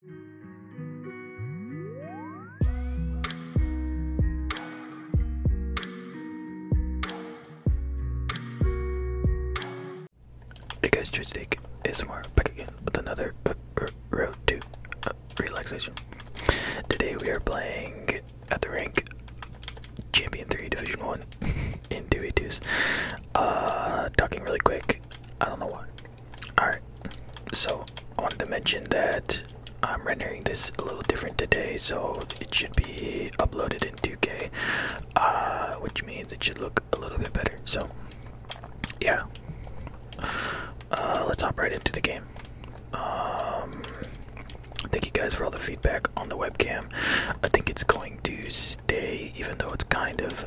Hey guys, Joystick ASMR back again with another uh, road to uh, relaxation. Today we are playing at the rink, Champion 3 Division 1 in 2v2s. Uh, talking really quick, I don't know why. Alright, so I wanted to mention that I'm rendering this a little different today, so it should be uploaded in 2K, uh, which means it should look a little bit better. So, yeah, uh, let's hop right into the game. Um, thank you guys for all the feedback on the webcam. I think it's going to stay, even though it's kind of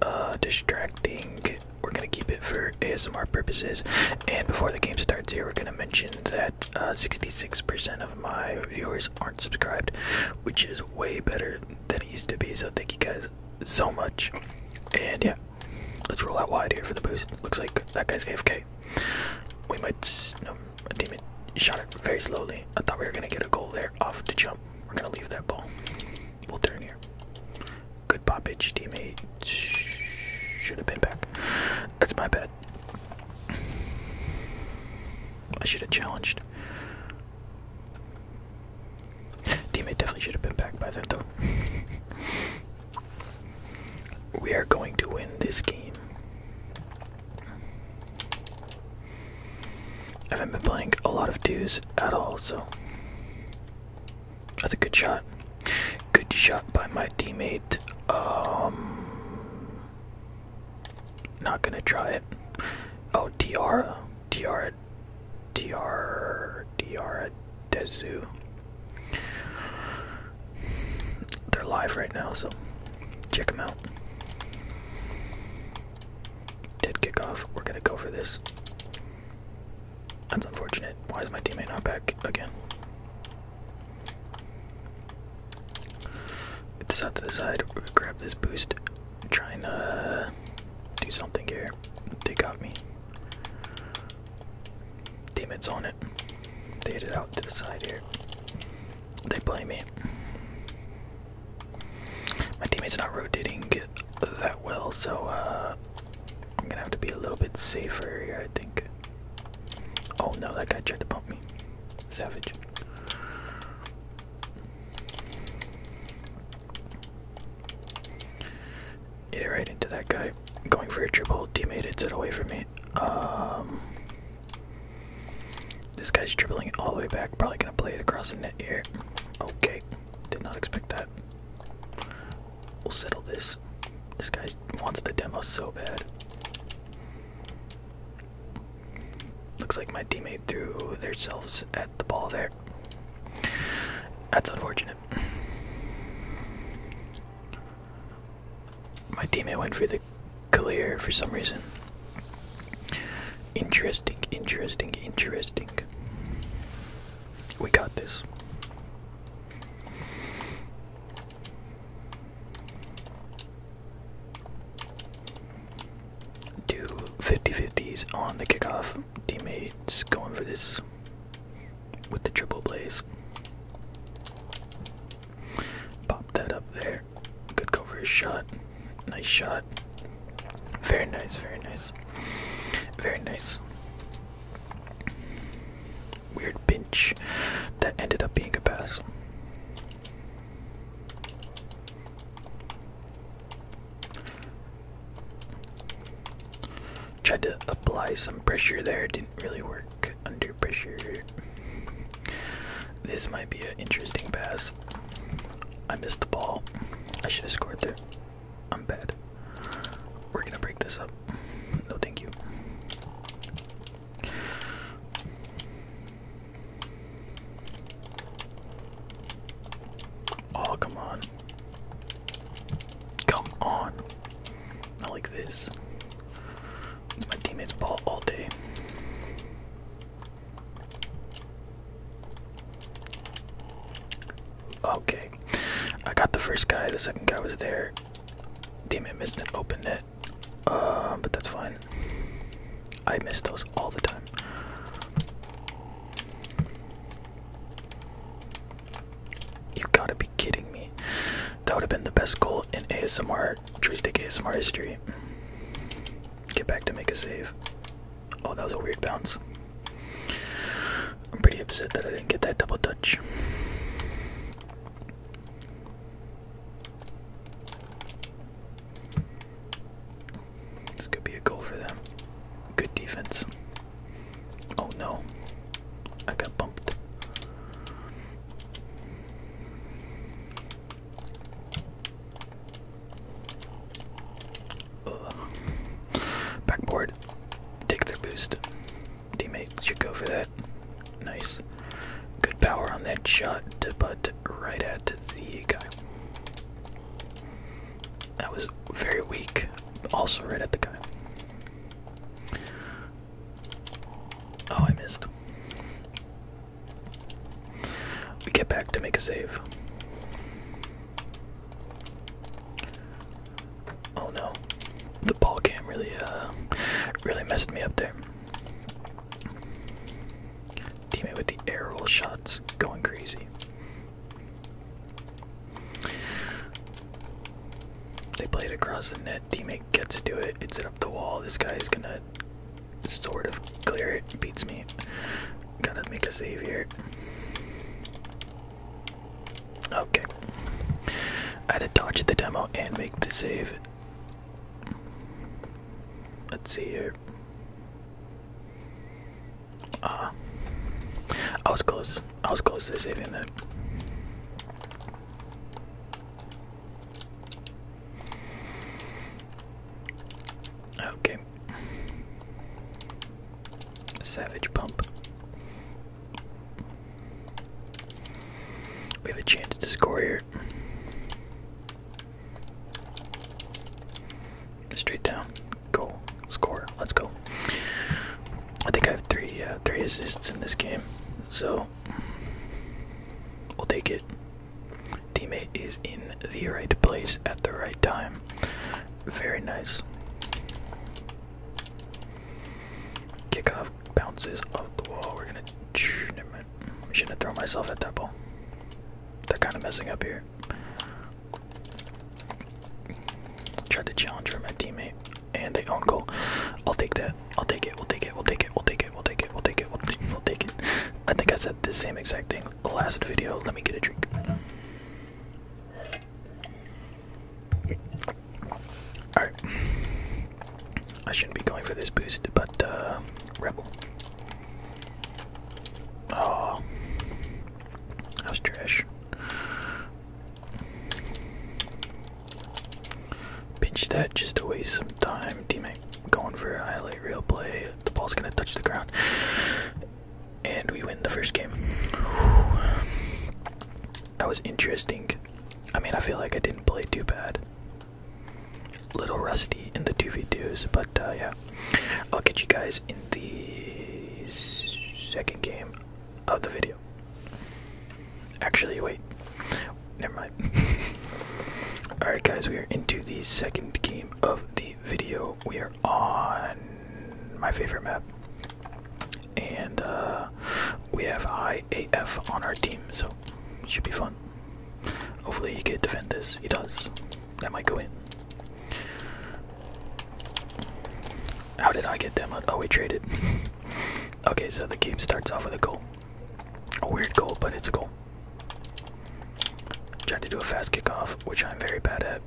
uh, distracting. We're gonna keep it for ASMR purposes. And before the game starts here, we're gonna mention that 66% uh, of my viewers aren't subscribed, which is way better than it used to be. So thank you guys so much. And yeah, let's roll out wide here for the boost. Looks like that guy's AFK. We might. No, a teammate shot it very slowly. I thought we were gonna get a goal there off the jump. We're gonna leave that ball. We'll turn here. Good pop teammate. Should have been back. That's my bad. I should have challenged. Teammate definitely should have been back by then, though. we are going to win this game. I haven't been playing a lot of twos at all, so that's a good shot. Good shot by my teammate. Um, not gonna try it. Oh, Diarra, Diarra, Diarra, Diarra Dezu. They're live right now, so check them out. Did kick off. We're gonna go for this. That's unfortunate. Why is my teammate not back again? Get this out to the side. Grab this boost. Trying to do something here. They got me. Teammates on it. They hit it out to the side here. They blame me. My teammate's not rotating that well, so uh, I'm gonna have to be a little bit safer here, I think. Oh no, that guy tried to bump me. Savage. Get it right into that guy. Going for a triple. Teammate hits it away from me. Um, this guy's dribbling it all the way back. Probably gonna play it across the net here. Okay. Did not expect that. We'll settle this. This guy wants the demo so bad. Looks like my teammate threw themselves at the ball there. That's unfortunate. My teammate went for the clear for some reason. Interesting, interesting, interesting. We got this. Do 50 50s on the kickoff. Teammates going for this with the triple plays. Pop that up there. Good cover shot. Nice shot. Very nice, very nice. Very nice. Weird pinch that ended up being a pass. Tried to apply some pressure there, didn't really work under pressure. This might be an interesting pass. I missed the ball. I should have scored there. I'm bad. We're gonna break this up. No, thank you. Oh, come on. Come on. Not like this. It's my teammate's ball all day. Okay. I got the first guy, the second guy was there. Damn it, missed an open net. Uh, but that's fine. I miss those all the time. You gotta be kidding me. That would have been the best goal in ASMR, joystick ASMR history. Get back to make a save. Oh, that was a weird bounce. I'm pretty upset that I didn't get that double touch. This could be a goal for them. Good defense. Oh no. I got bumped. Backboard. Take their boost. Teammate should go for that. Nice. Good power on that shot, but right at the guy. That was very weak, also right at the guy. Oh, I missed. We get back to make a save. Oh no, the ball cam really, uh, really messed me up there. Teammate with the arrow shots, going crazy. They play it across the net. Teammate gets to it. hits it up the wall. This guy is gonna sort of clear it. Beats me. Gotta make a save here. Okay. I had to dodge the demo and make the save. Let's see here. Uh, I was close. I was close to saving that. Okay. Savage Pump. We have a chance to score here. Straight down. Goal. Score. Let's go. I think I have three uh, three assists in this game. So we'll take it. Teammate is in the right place at the right time. Very nice. Kickoff bounces off the wall. We're gonna. Never mind. Shouldn't throw myself at that ball. They're kind of messing up here. Tried to challenge for my teammate, and they own I'll take that. I'll take it. We'll take it. We'll take it. We'll take it. We'll take it. We'll take it. We'll take it. We'll take it. I think I said the same exact thing last video. Let me get a drink. Alright. I shouldn't be going for this boost, but uh Rebel. Oh that was trash. Pinch that just to waste some time, teammate. Going for a highlight real play. The ball's gonna touch the ground and we win the first game. That was interesting. I mean, I feel like I didn't play too bad. Little rusty in the 2v2s, but uh, yeah. I'll get you guys in the second game of the video. Actually, wait. Never mind. Alright, guys, we are into the second game of the video. We are on my favorite map. And uh, we have IAF on our team, so it should be fun. Hopefully he can defend this. He does. That might go in. How did I get them? Oh, we traded. okay, so the game starts off with a goal. A weird goal, but it's a goal. Tried to do a fast kickoff, which I'm very bad at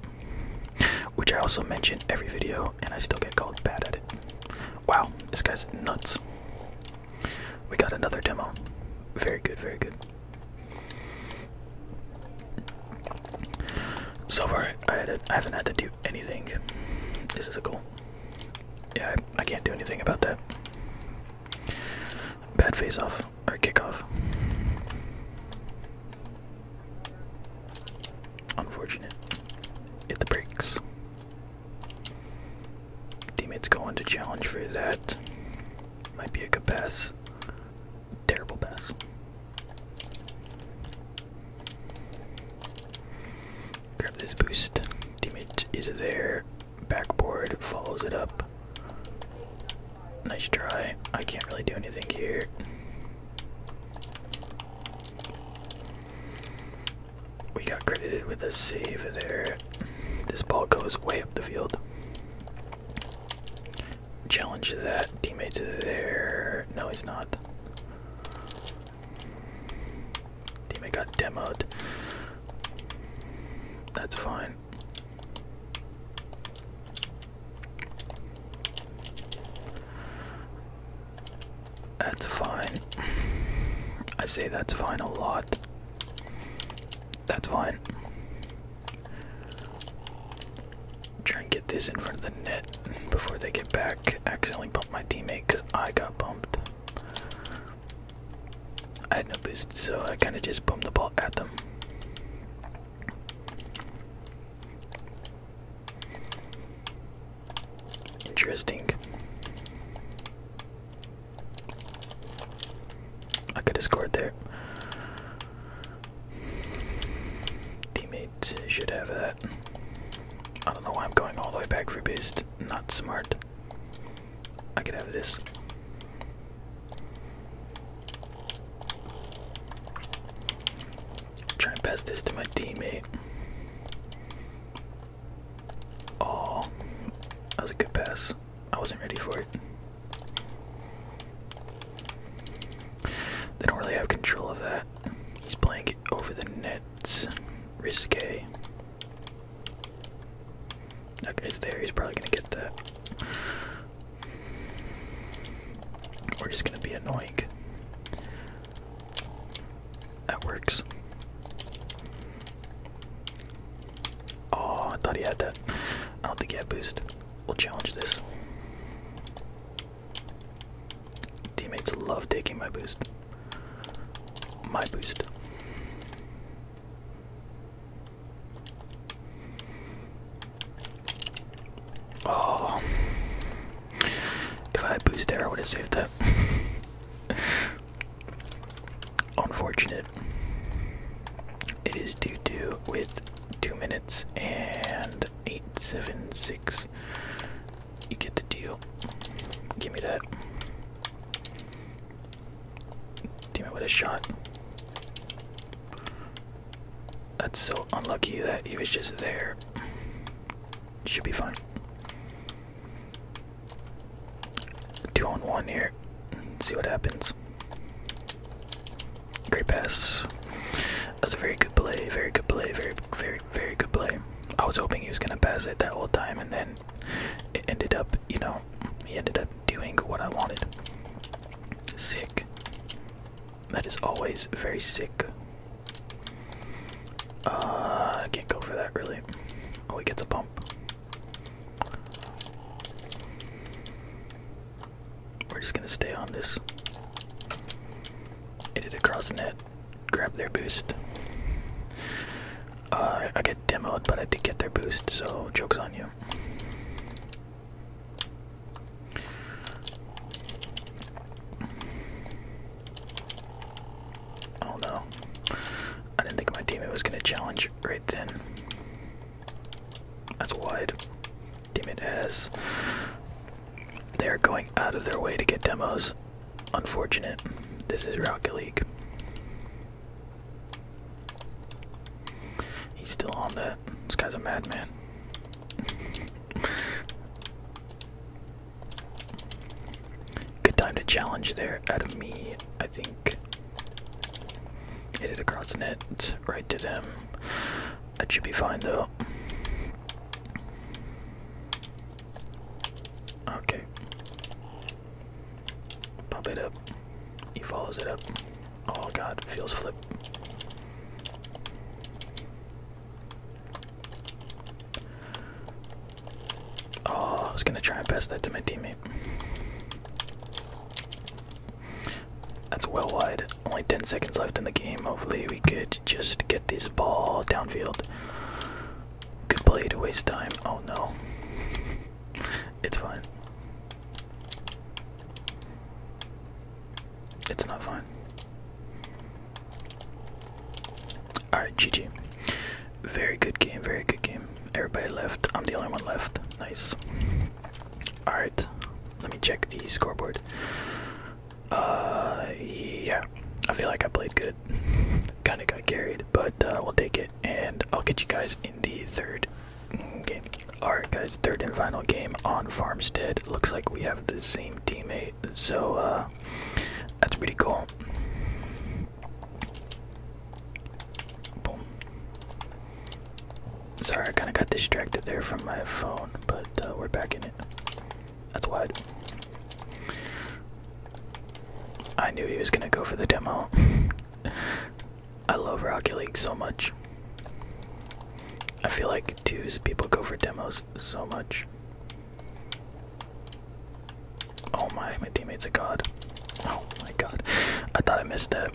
which I also mention every video, and I still get called bad at it. Wow, this guy's nuts. We got another demo. Very good, very good. So far, I, I haven't had to do anything. This is a goal. Yeah, I, I can't do anything about that. Bad face off or kickoff. Unfortunate. Hit the brakes. Teammates going to challenge for that. Might be a good pass. Terrible pass. Grab this boost. Teammate is there. Backboard follows it up. Nice try. I can't really do anything here. We got credited with a save there. This ball goes way up the field. Challenge to that. Teammates there. No, he's not. Teammate got demoed. That's fine. That's fine. I say that's fine a lot. That's fine. Try and get this in front of the net before they get back. Accidentally bumped my teammate because I got bumped. I had no boost, so I kind of just bumped the ball at them. Interesting. I could have scored there. Teammates should have that. I don't know why I'm going all the way back for boost. Not smart. I could have this. Try and pass this to my teammate. Oh, that was a good pass. I wasn't ready for it. They don't really have control of that. He's playing it over the net. Risque. That guy's there. He's probably going to get that. We're just gonna be annoying. That works. Oh, I thought he had that. I don't think he had boost. We'll challenge this. Teammates love taking my boost. My boost. Oh. If I had boosted there, I would have saved that. Unfortunate. It is due 2 with 2 minutes and 8 7 6. You get the deal. Give me that. Damn it, what a shot. That's so unlucky that he was just there. Should be fine. Two on one here. See what happens. Great pass. That's a very good play. Very good play. Very, very, very good play. I was hoping he was gonna pass it that whole time, and then it ended up, you know, he ended up doing what I wanted. Sick. That is always very sick I uh, can't go for that really. Oh, we get the bump. We're just gonna stay on this. Did it across the net. Grab their boost. Uh, I get demoed, but I did get their boost, so joke's on you. Oh no. I didn't think my teammate was going to challenge right then. That's wide. Teammate has. They're going out of their way to get demos. Unfortunate. This is Rocket League. He's still on that. This guy's a madman. Good time to challenge there out of me, I think. Hit it across the net, right to them. That should be fine though. Okay. Pump it up. He follows it up. Oh god, feels flip. Oh, I was gonna try and pass that to my teammate. That's well wide. Only 10 seconds left in the game. Hopefully, we could just get this ball downfield. Good play to waste time. Oh no. It's fine. It's not fine. Alright, GG. Very good game, very good game. Everybody left. I'm the only one left. Nice. Alright, let me check the scoreboard. Uh, yeah. I feel like I played good. Kinda got carried, but uh, we'll take it. And I'll get you guys in the third game. Alright, guys, third and final game on Farmstead. Looks like we have the same teammate, so uh, that's pretty cool. Sorry, I kind of got distracted there from my phone, but uh, we're back in it. That's why. I knew he was gonna go for the demo. I love Rocket League so much. I feel like twos people go for demos so much. Oh my, my teammate's are god. Oh my god. I thought I missed that.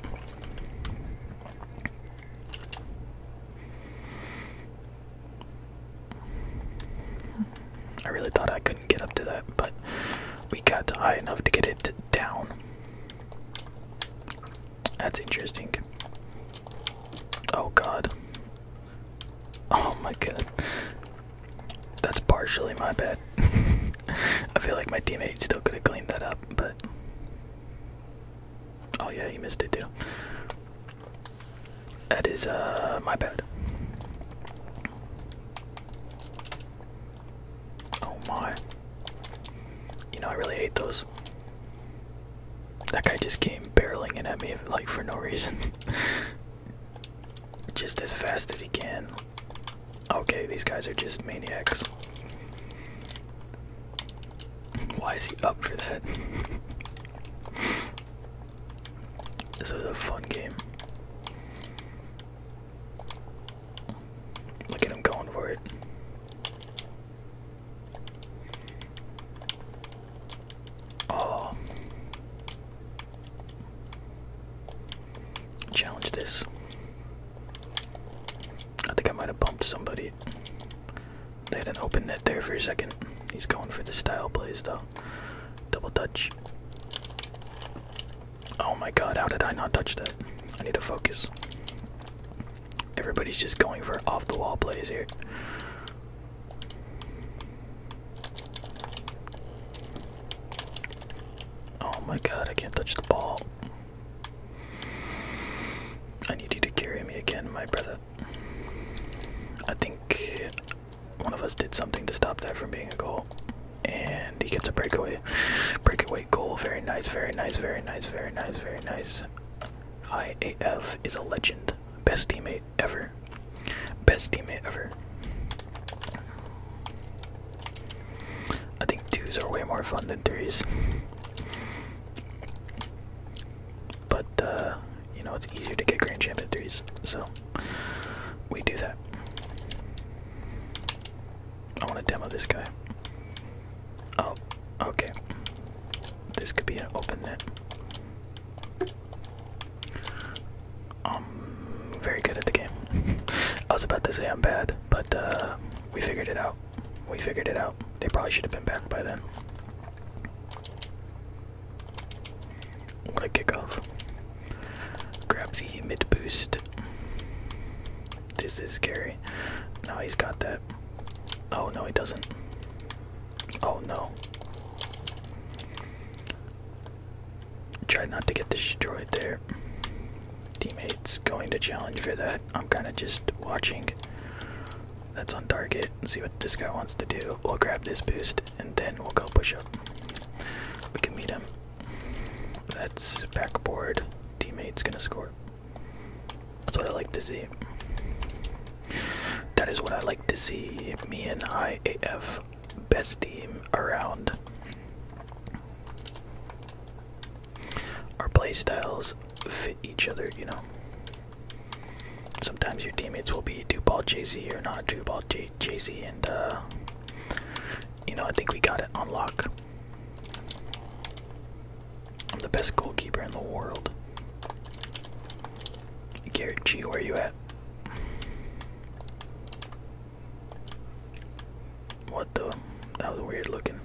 I really thought I couldn't get up to that, but we got high enough to get it down. That's interesting. Oh god. Oh my god. That's partially my bad. I feel like my teammate still could have cleaned that up, but. Oh yeah, he missed it too. That is, uh, my bad. Oh my. You know, I really hate those. That guy just came barreling in at me, like, for no reason. just as fast as he can. Okay, these guys are just maniacs. Why is he up for that? this is a fun game. Look at him going for it. Oh. Challenge this. I think I might have bumped somebody. They had an open net there for a second. He's going for the style plays though. Double touch. Oh my god, how did I not touch that? I need to focus. Everybody's just going for off the wall plays here. Oh my god, I can't touch the ball. I need you to carry me again, my brother. I think one of us did something to stop that from being a goal. And he gets a breakaway. Breakaway goal. Very nice, very nice, very nice, very nice, very nice. IAF is a legend. Best teammate ever. Best teammate ever. I think twos are way more fun than threes. But, uh, you know, it's easier to get Grand champion threes, so we do that. I want to demo this guy. Oh, okay. This could be an open net. I'm um, very good at the game. I was about to say I'm bad, but uh, we figured it out. We figured it out. They probably should have been back by then. What a kickoff. Grab the mid boost. This is scary. Now he's got that. Oh no, he doesn't. Oh no. Try not to get destroyed there. Teammates going to challenge for that. I'm kind of just watching. That's on target. See what this guy wants to do. We'll grab this boost and then we'll go push up. We can meet him. That's backboard. Teammate's gonna score. That's what I like to see. That is what I like to see. Me and IAF best team around. Our playstyles fit each other, you know. Sometimes your teammates will be two ball Jay Z or not two ball Jay Z, and uh, you know, I think we got it on lock. I'm the best goalkeeper in the world. Garrett G, where are you at? What the? That was weird looking.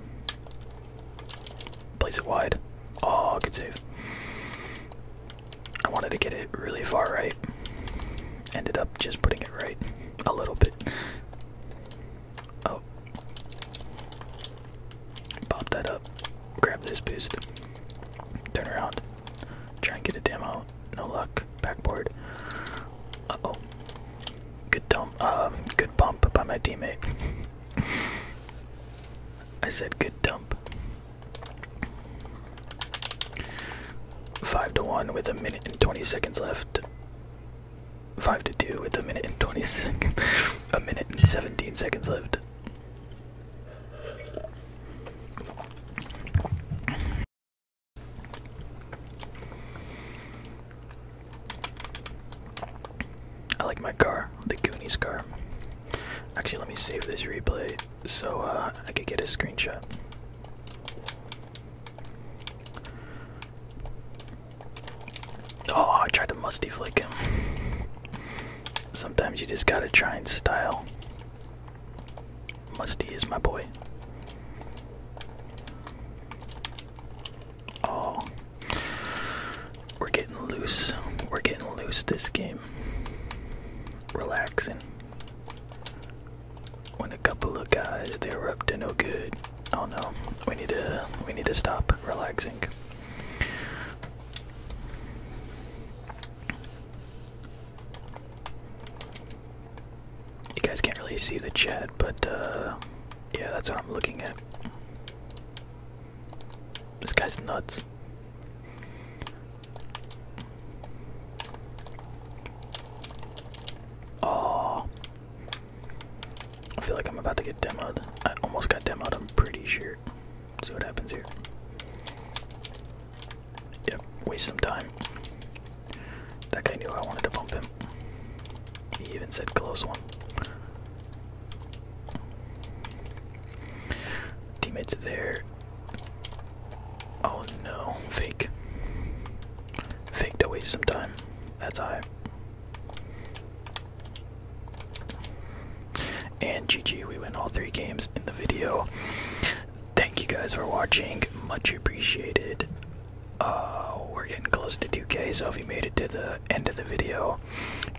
Place it wide. Oh, good save. I wanted to get it really far right. Ended up just putting it right a little bit. Oh. Pop that up. Grab this boost. Turn around. Try and get a demo. No luck. Backboard. Uh oh. Good dump. Uh, good bump by my teammate. I said good dump. Five to one with a minute and twenty seconds left. Five to two with a minute and twenty seconds. a minute and seventeen seconds left. I like my car, the Goonies car. Actually, let me save this replay so uh, I could get a screenshot. Oh, I tried to musty flick him. Sometimes you just gotta try and style. Musty is my boy. Oh, we're getting loose. We're getting loose this game. Relaxing. When a couple of guys they're up to no good. Oh no, we need to we need to stop relaxing. You guys can't really see the chat, but uh, yeah, that's what I'm looking at. This guy's nuts. Oh, I feel like I'm about to get demoed. I almost got demoed, I'm pretty sure see what happens here. Yep, waste some time. That guy knew I wanted to bump him. He even said close one. Teammates there. Oh no, fake. Fake to waste some time. That's high. And GG, we win all three games in the video. Thank you guys for watching. Much appreciated. Uh, we're getting close to 2K, so if you made it to the end of the video,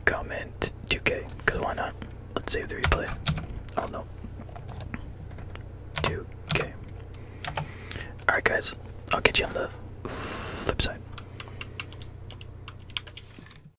comment 2K, because why not? Let's save the replay. Oh no. 2K. Alright, guys, I'll catch you on the flip side.